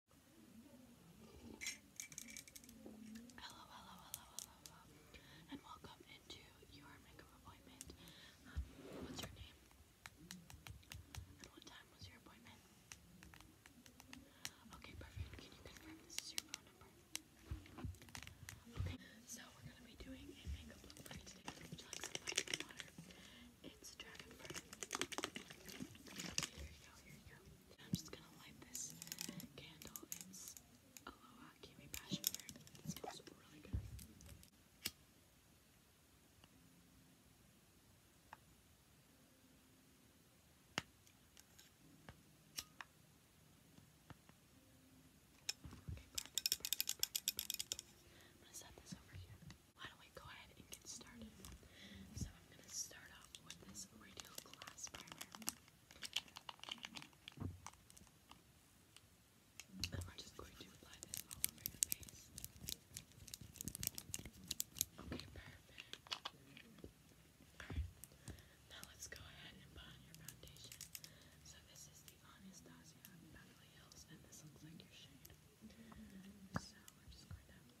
Hello, hello, hello, hello, hello, and welcome into your makeup appointment. Um, what's your name? And what time was your appointment? Okay, perfect. Can you confirm this is your phone number? Okay, so we're gonna be doing a makeup look today. Would you like water? It's dragon fruit. here you go, here you go. I'm just gonna light this candle. It's Aloha Kiwi Passion Fruit. It smells really good. Okay, I'm gonna set this over here. Why don't we go ahead get started. So I'm going to start off with this Radial Glass Primer. And we're just going to apply this all over your face. Okay, perfect. Alright, now let's go ahead and put on your foundation. So this is the Anastasia Beverly Hills, and this looks like your shade. So we're just going to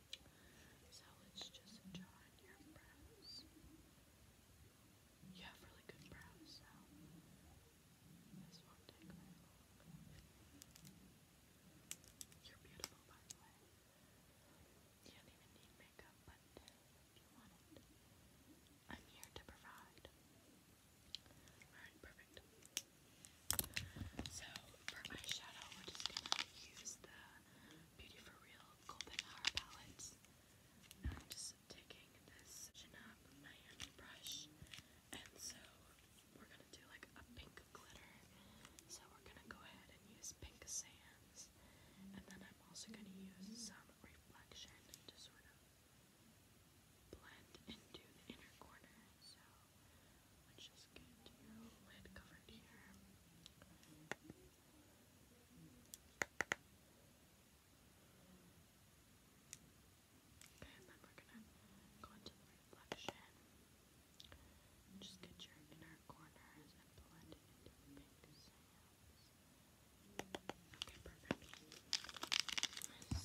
So let's just draw your brows. You have really good brows, so this won't take long. You're beautiful, by the way. You don't even need makeup, but if you want I'm here to provide. Alright, perfect. So, for eyeshadow, we're just gonna use the Beauty for Real Golden Hour palettes. And I'm just taking this Chanel Miami brush, and so we're gonna do like a pink glitter. So we're gonna go ahead and use pink sands, and then I'm also gonna use some reflection to sort of blend into the inner corner. So let's just get lid covered here. Okay, and then we're gonna go into reflection. Just get your inner corners and blend it Okay, perfect. So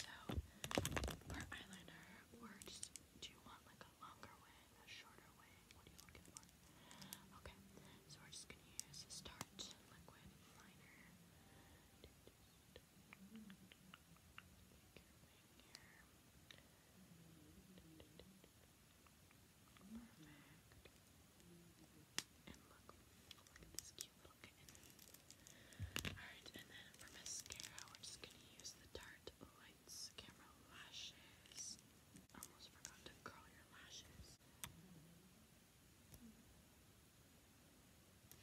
for eyeliner, we're just do you want like a longer a you Okay, so we're just gonna use a start liquid liner. And look, look at this cute little kitten. Alright, and then for mascara, we're just gonna use the Tarte Lights Camera Lashes. Almost forgot to curl your lashes.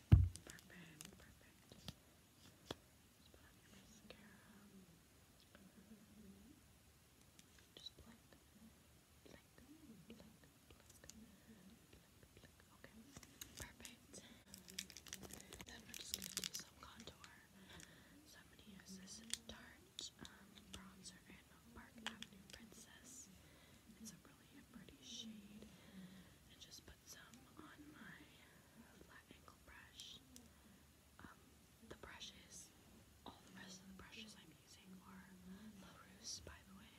Perfect, perfect. put on your mascara. Just blink, blink, blink, blink, blink, blink. Okay, perfect. Then we're just gonna do some contour. So i this dark Orange um, Bronzer in Park Avenue Princess. It's a really pretty shade. And just put some on my flat ankle brush. Um, the brushes, all the rest of the brushes I'm using are La Rousse, by the way,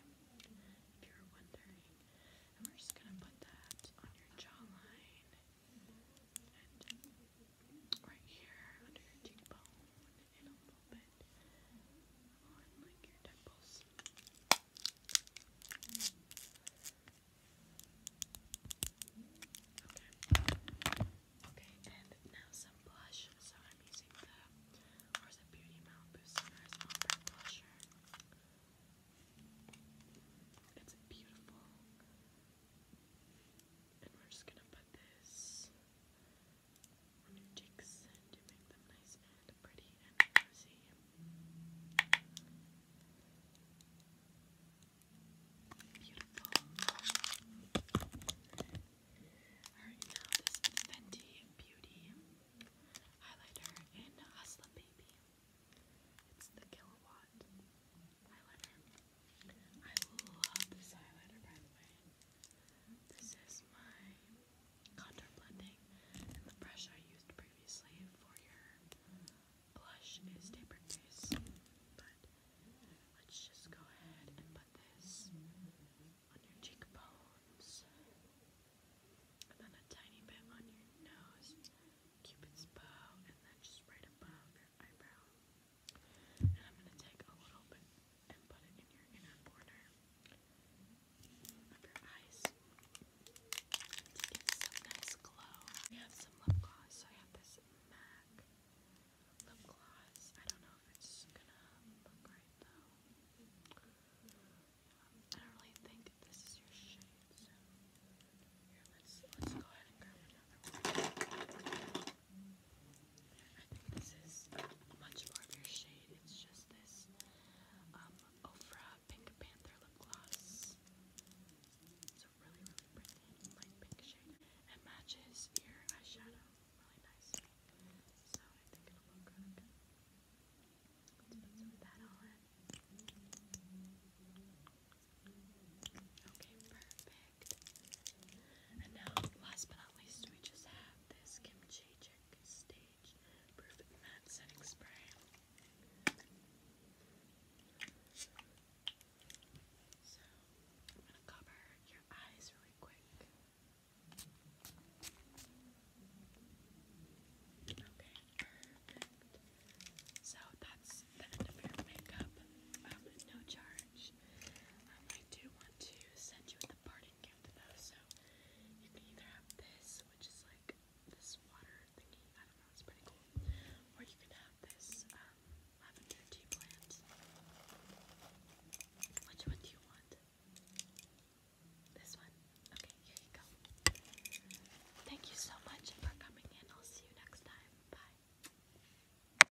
if you're wondering. And we're just gonna put that on your jawline and right here under your cheekbone and a little bit on like your temples. Okay. Okay, and now some blush. So I'm using the Orsa Beauty Malibu Sunrise Blusher. It's beautiful. And we're just gonna put this on your cheeks to make them nice and pretty and rosy. Beautiful. Alright, now this Fenty Beauty highlighter in Hustla Baby. It's the Kilowatt highlighter. I love this highlighter, by the way. This is my contour blending, and the brush I used previously for your blush is Tapered But let's just go ahead and put this on your cheekbones, and then a tiny bit on your nose, Cupid's bow, and then just right above eyebrow. And We have some lip gloss. So I have this MAC lip gloss. I don't know if it's going to look right though. I don't really think this is your shade, here, let's, let's go ahead and grab another one. I think this is a much larger shade. It's just this um, Pink Panther lip gloss. It's a really, really pretty light pink shade. It matches your eyeshadow really nicely, so I think it'll look good. Let's put some of that on. Okay, perfect. And now, last but not least, we just have this kimchi chick stage proof matte setting spray. So I'm gonna cover your eyes really quick. Okay, So that's the end of your makeup. Um, no charge. Um, I do want to send you the parting gift though, so you can either have this, which is like this water thingy, I don't know, it's pretty cool, or you can have this um, lavender tea plant. Which one do you want? This one? Okay, here you go. Thank you so much for coming in. I'll see you next time. Bye.